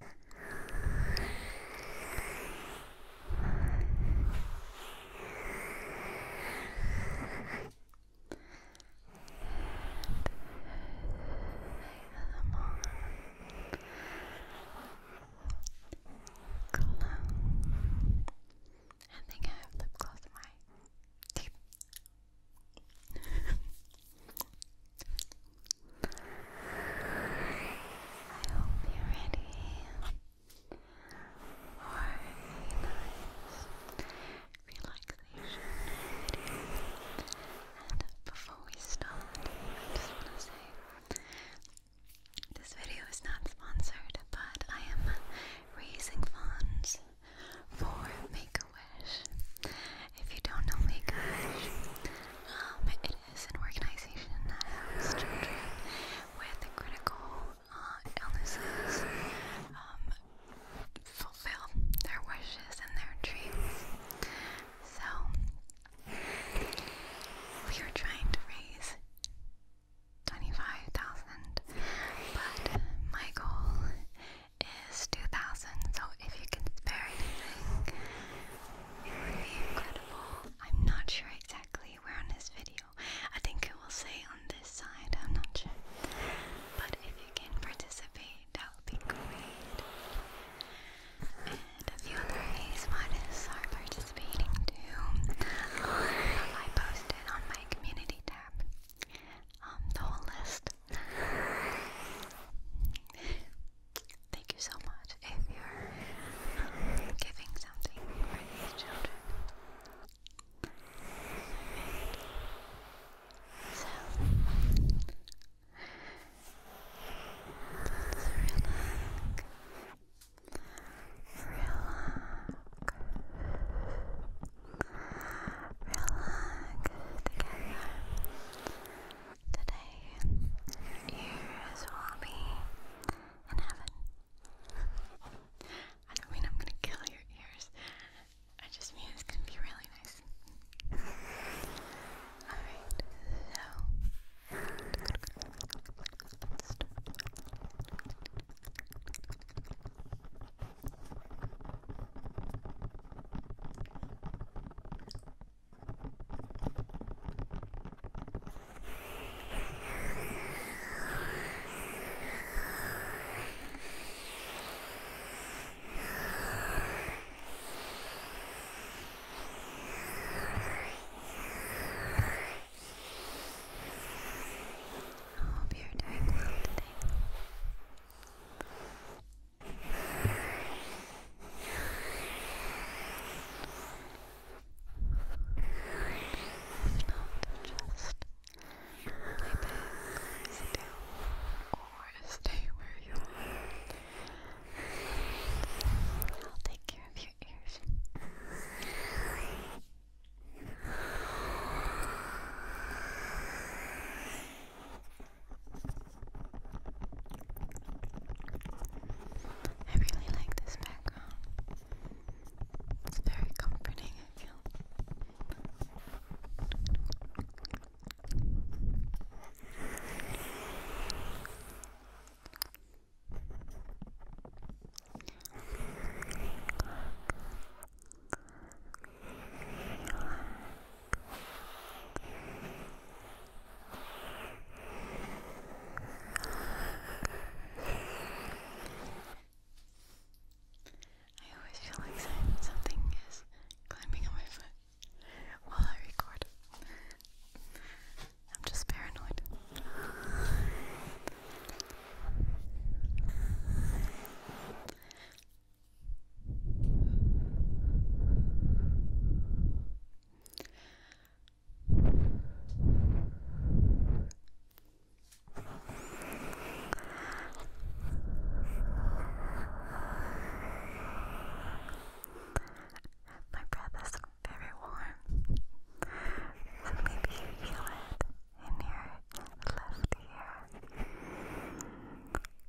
I think I have lip gloss my teeth. I hope you're ready for a relaxation And before we start, I just want to say this video is not sponsored, but I am raising funds for Make a Wish. If you don't know Make a um, it is an organization that helps children with critical uh, illnesses um, fulfill their wishes and their dreams. So, we are trying to raise 25,000, but my goal is 2000 so if you can spare anything it would be incredible I'm not sure exactly where on this video I think it will say on this side I'm not sure but if you can participate that would be great and a few other ways are participating too I posted on my community tab um, the whole list Thank you so much if you're giving something for these children. So, let's relax. Relax. Relax together. Today, yours will be in heaven. I don't mean I'm gonna kill your ears. I just mean it's gonna be really nice. Alright, so hope you're doing well today just lay back, sit down, or stay where you are. I'll take care of your ears. Good. I really like this background. It's very comforting, I always feel like something is climbing on my foot while I record. I'm just paranoid. My breath is very warm. So maybe you feel it in your left ear.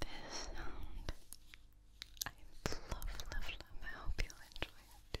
This sound I love, love, love. I hope you'll enjoy it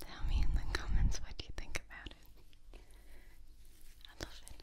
Tell me in the comments what you think about it. I love it.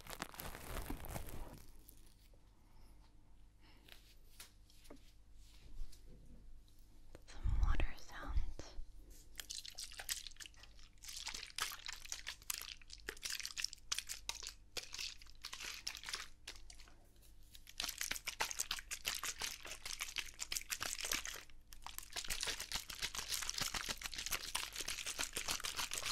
Some water sounds. Some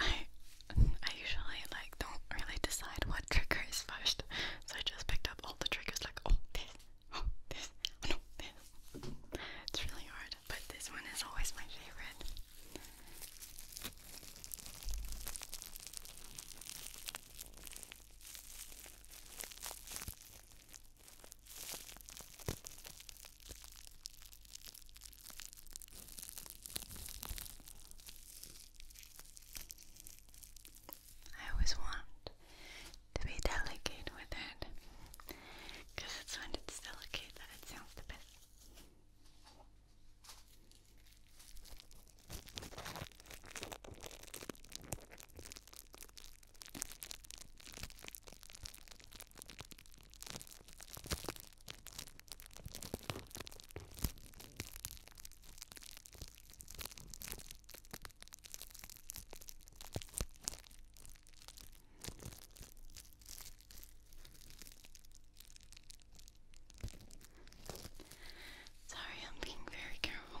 I I usually like don't really decide what trigger is first, so I just picked up all the triggers like oh this, oh this, oh, no this. It's really hard, but this one is always my favorite. I always want to be delicate with it because it's when it's delicate that it sounds the best. Sorry, I'm being very careful.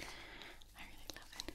I really love it.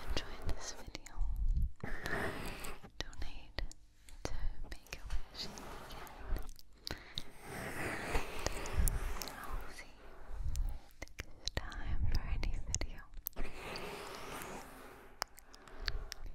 enjoyed this video. Donate to Make a Wish you can. I'll see you next time for any video.